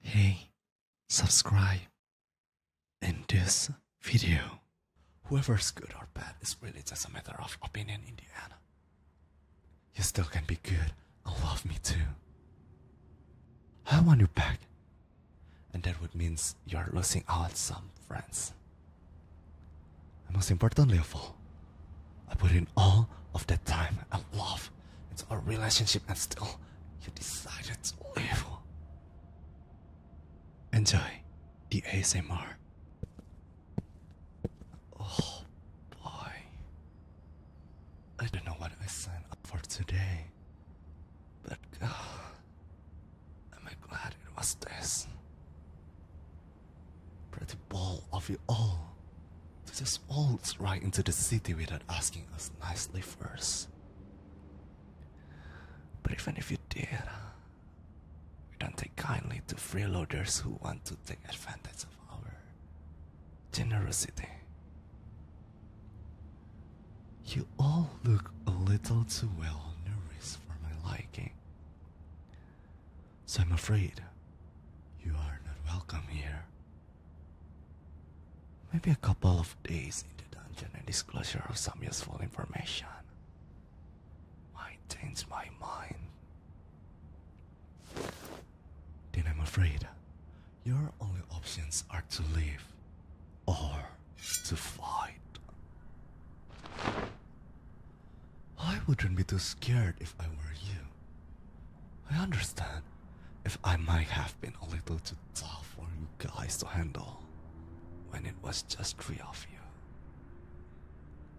Hey, subscribe. In this video, whoever's good or bad is really just a matter of opinion Indiana. You still can be good and love me too. I want you back. And that would mean you're losing out some friends. And most importantly of all, I put in all of that time and love it's our relationship and still you decided to leave. Enjoy the ASMR. Oh boy. I don't know what I signed up for today. But God, uh, am I glad it was this. Pretty ball of you all to just all right into the city without asking us nicely first. But even if you did, we don't take kindly to freeloaders who want to take advantage of our generosity. You all look a little too well nourished for my liking. So I'm afraid you are not welcome here. Maybe a couple of days in the dungeon and disclosure of some useful information might change my mind. Then I'm afraid your only options are to leave or to fight. I wouldn't be too scared if I were you. I understand if I might have been a little too tough for you guys to handle when it was just three of you.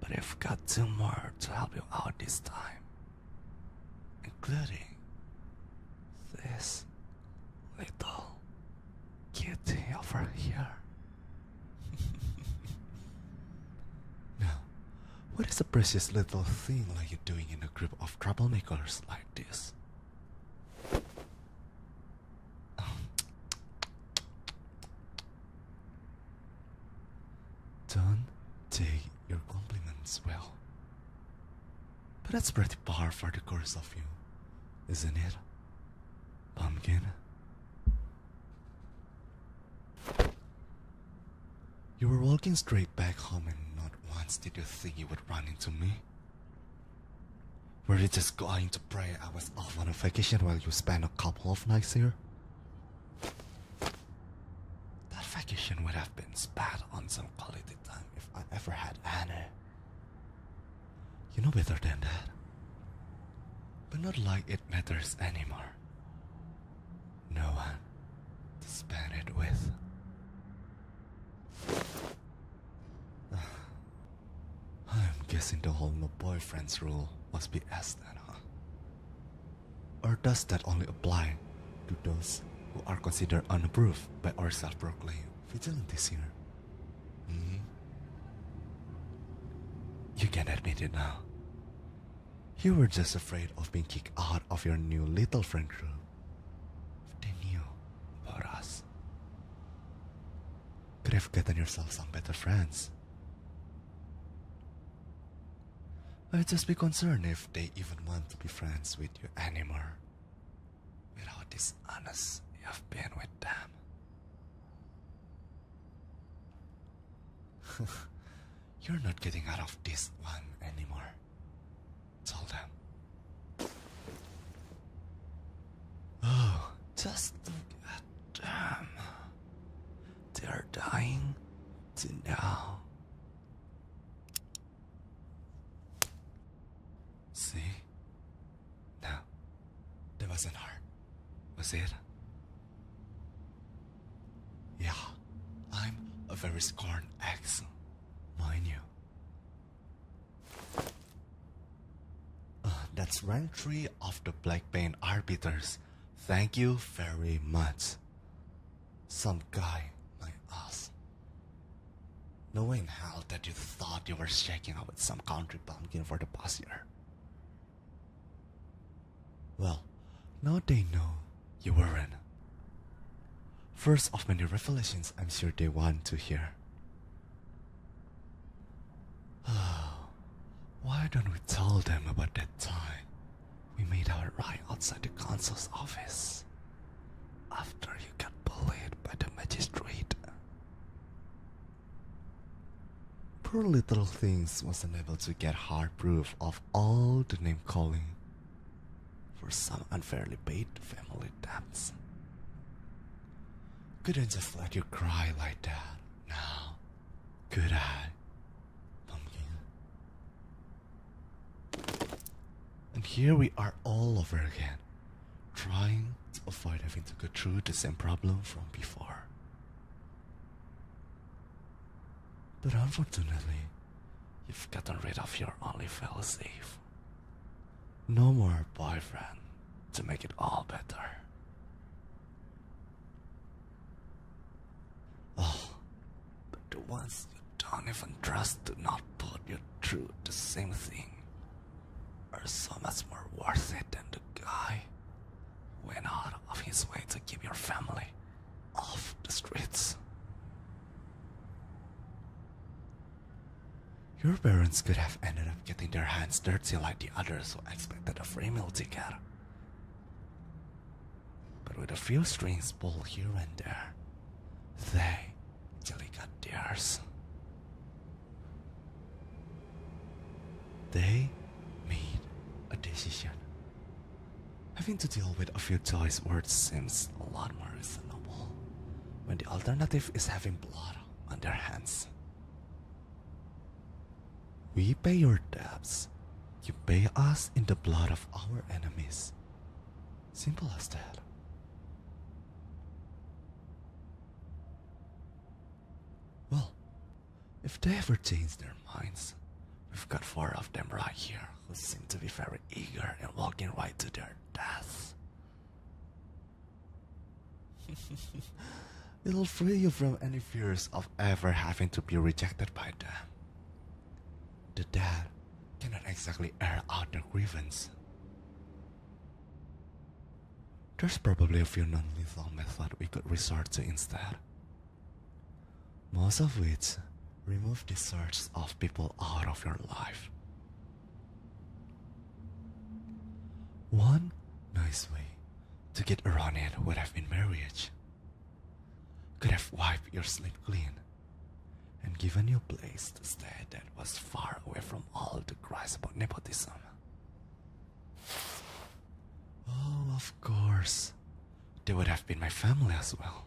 But I've got two more to help you out this time, including this little kitty over here. now, what is a precious little thing like you doing in a group of troublemakers like this? Oh. Don't take your compliments well. But that's pretty par for the course of you, isn't it? Pumpkin? You were walking straight back home and not once did you think you would run into me. Were you just going to pray I was off on a vacation while you spent a couple of nights here? That vacation would have been spat on some quality time if I ever had any. You know better than that. But not like it matters anymore no one to spend it with. I'm guessing the whole no boyfriends rule must be asked, then, Or does that only apply to those who are considered unapproved by our self-proclaimed vigilantes here? Mm-hmm. You can admit it now. You were just afraid of being kicked out of your new little friend group. They knew about us. Could have gotten yourself some better friends. I'd just be concerned if they even want to be friends with you anymore. Without this dishonest you have been with them. You're not getting out of this one anymore. Tell them. Oh, just look at them. They're dying to now. See? now. that wasn't hard, was it? Yeah, I'm a very scorned ex, mind you. Uh, that's rank 3 of the Blackbane Arbiters. Thank you very much. Some guy like us. Knowing how that you thought you were shaking out with some country bumpkin for the past year. Well, now they know you weren't. First of many revelations I'm sure they want to hear. Oh, why don't we tell them about that time we made our ride outside the consul's office after you got bullied by the magistrate? Poor little things wasn't able to get hard proof of of all the name calling for some unfairly paid family debts. Couldn't just let you cry like that now, could I? Pumpkin. And here we are all over again, trying to avoid having to go through the same problem from before. But unfortunately, you've gotten rid of your only fellow safe. No more boyfriend to make it all better. Oh, but the ones you don't even trust do not put you through the same thing are so much more worth it than the guy went out of his way to keep your family off the streets. Your parents could have ended up getting their hands dirty like the others who expected a free meal ticket. But with a few strings pulled here and there, they actually got theirs. They made a decision Having to deal with a few choice words seems a lot more reasonable when the alternative is having blood on their hands. We pay your debts, you pay us in the blood of our enemies. Simple as that. Well, if they ever change their minds, we've got four of them right here who seem to be very eager and walking right to their death. It'll free you from any fears of ever having to be rejected by them. The dead cannot exactly air out their grievance. There's probably a few non lethal methods we could resort to instead, most of which remove the sorts of people out of your life. One nice way to get around it would have been marriage. Could have wiped your slate clean and given you a place to stay that was far away from all the cries about nepotism. Oh, of course. They would have been my family as well.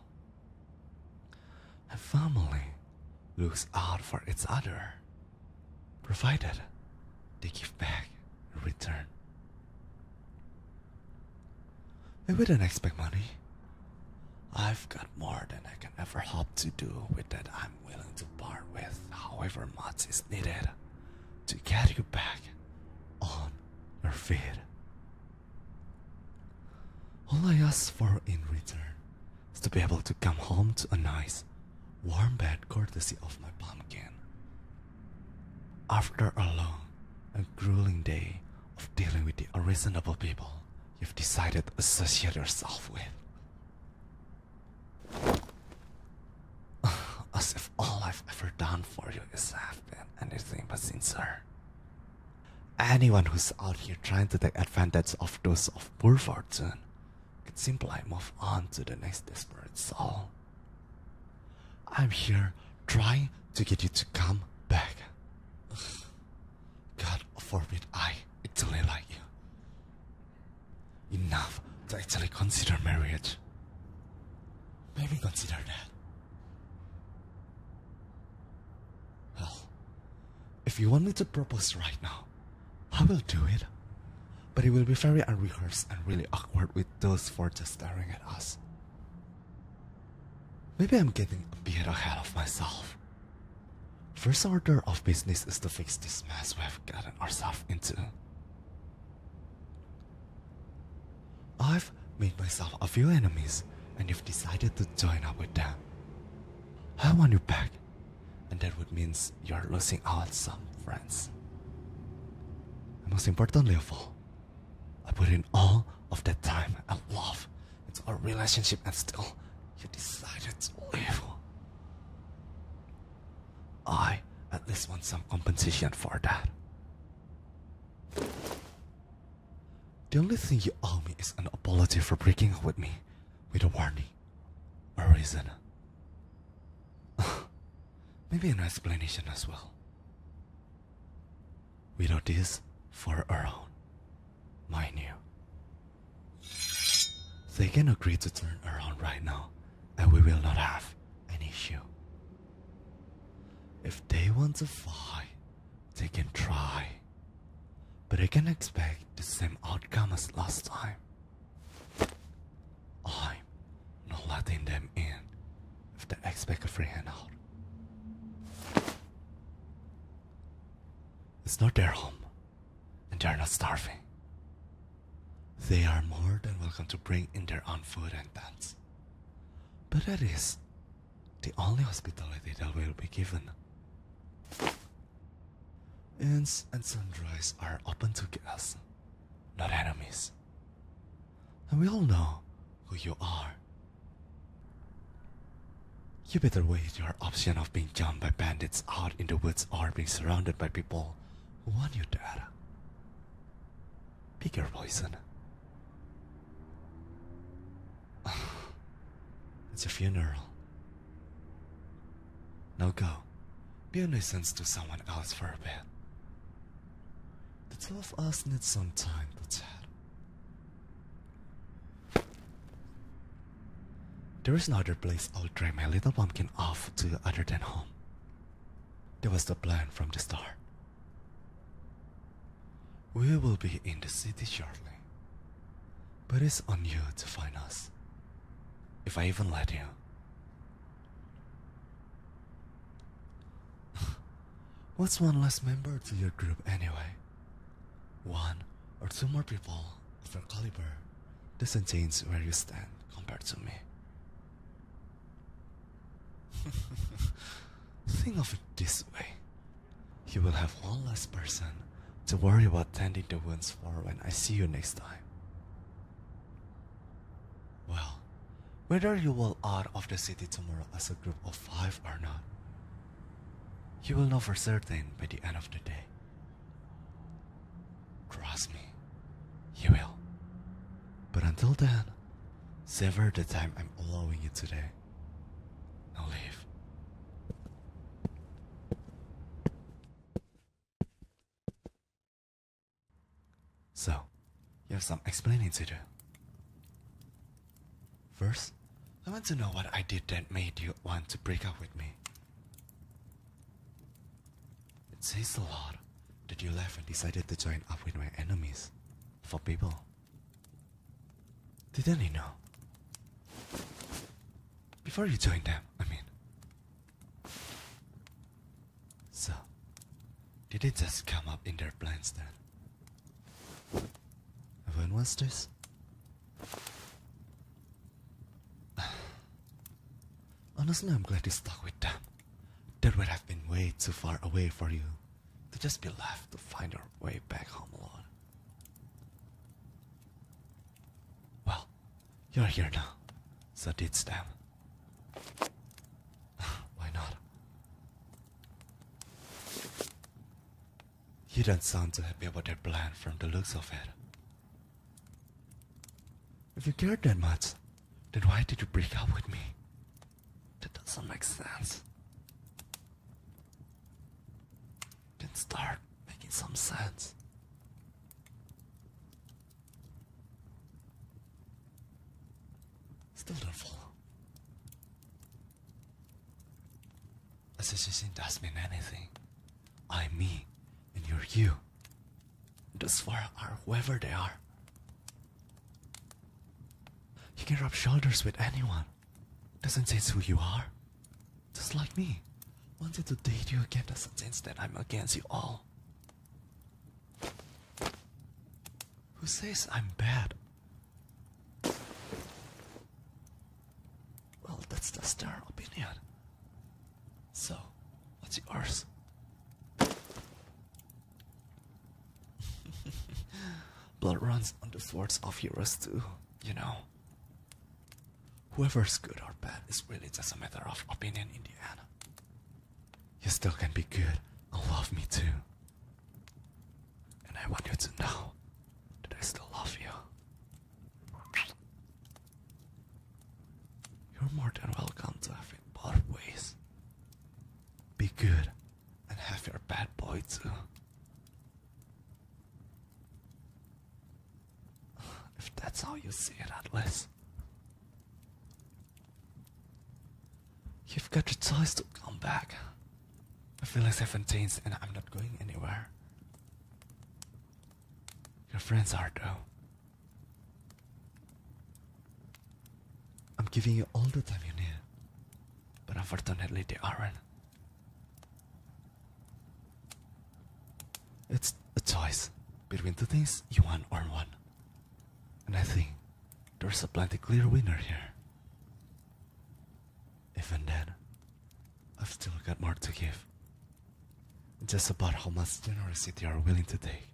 A family looks out for its other, provided they give back in return. I wouldn't expect money. I've got more than I can ever hope to do with that I'm willing to part with however much is needed to get you back on your feet. All I ask for in return is to be able to come home to a nice, warm bed courtesy of my pumpkin. After a long and grueling day of dealing with the unreasonable people you've decided to associate yourself with. As if all I've ever done for you is have been anything but sincere. Anyone who's out here trying to take advantage of those of poor fortune could simply move on to the next desperate soul. I'm here trying to get you to come back. God forbid I actually like you enough to actually consider marriage. Maybe consider that. Well, if you want me to propose right now, I will do it. But it will be very unrehearsed and really awkward with those four just staring at us. Maybe I'm getting a bit ahead of myself. First order of business is to fix this mess we have gotten ourselves into. I've made myself a few enemies and you've decided to join up with them. I want you back, and that would mean you're losing out some friends. And most importantly of all, I put in all of that time and love into our relationship and still you decided to leave. I at least want some compensation for that. The only thing you owe me is an apology for breaking up with me with a warning or reason. Maybe an explanation as well. Without this, for our own, mind you. They can agree to turn around right now and we will not have an issue. If they want to fly, they can try, but they can expect the same outcome as last time. I'm not letting them in if they expect a free handout. It's not their home, and they're not starving. They are more than welcome to bring in their own food and tents. But that is the only hospitality that will be given. Inns and sundries are open to guests, not enemies. And we all know who you are. You better wait your option of being jumped by bandits out in the woods or being surrounded by people warn you, Dad. Pick your poison. it's a funeral. Now go. Be a nuisance to someone else for a bit. The two of us need some time to chat. There is no other place I'll dry my little pumpkin off to other than home down. That was the plan from the start. We will be in the city shortly. But it's on you to find us. If I even let you. What's one less member to your group anyway? One or two more people for Caliber doesn't change where you stand compared to me. Think of it this way. You will have one less person to worry about tending the wounds for when I see you next time. Well, whether you will out of the city tomorrow as a group of five or not, you will know for certain by the end of the day Cross me. You will. But until then, sever the time I'm allowing you today. Now leave. So, you have some explaining to do. First, I want to know what I did that made you want to break up with me. It says a lot that you left and decided to join up with my enemies for people. Didn't you know? Before you joined them, I mean. So, did it just come up in their plans then? When was this? Honestly, I'm glad you stuck with them. That would have been way too far away for you to just be left to find your way back home alone. Well, you're here now, so ditch them. Why not? You don't sound too happy about their plan from the looks of it. If you cared that much, then why did you break up with me? That doesn't make sense. Then start making some sense. Still don't follow. As if she didn't ask me anything. I'm me, and you're you. Dosvara are whoever they are. You can rub shoulders with anyone. Doesn't sense who you are. Just like me. Wanted to date you again doesn't sense that I'm against you all. Who says I'm bad? Well, that's just their opinion. So, what's yours? Blood runs on the swords of heroes too, you know. Whoever's good or bad is really just a matter of opinion Indiana. You still can be good and love me too. And I want to know that I still love you. You're more than welcome to have it both ways. Be good and have your bad boy too. If that's how you see it, Atlas. You've got your choice to come back. I feel like I've changed and I'm not going anywhere. Your friends are, though. I'm giving you all the time you need, but unfortunately, they aren't. It's a choice between two things you want or one. And I think there's a plenty clear winner here. Even then, I've still got more to give. Just about how much generosity you are willing to take.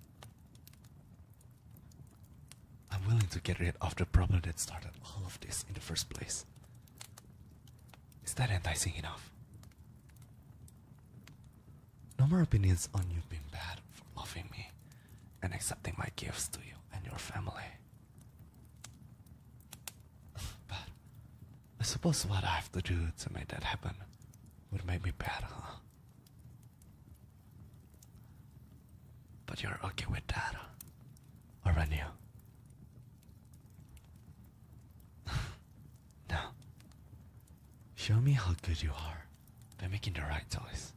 I'm willing to get rid of the problem that started all of this in the first place. Is that enticing enough? No more opinions on you being bad for loving me and accepting my gifts to you and your family. but I suppose what I have to do to make that happen would make me bad, huh? But you're okay with that, aren't you? now, show me how good you are by making the right choice.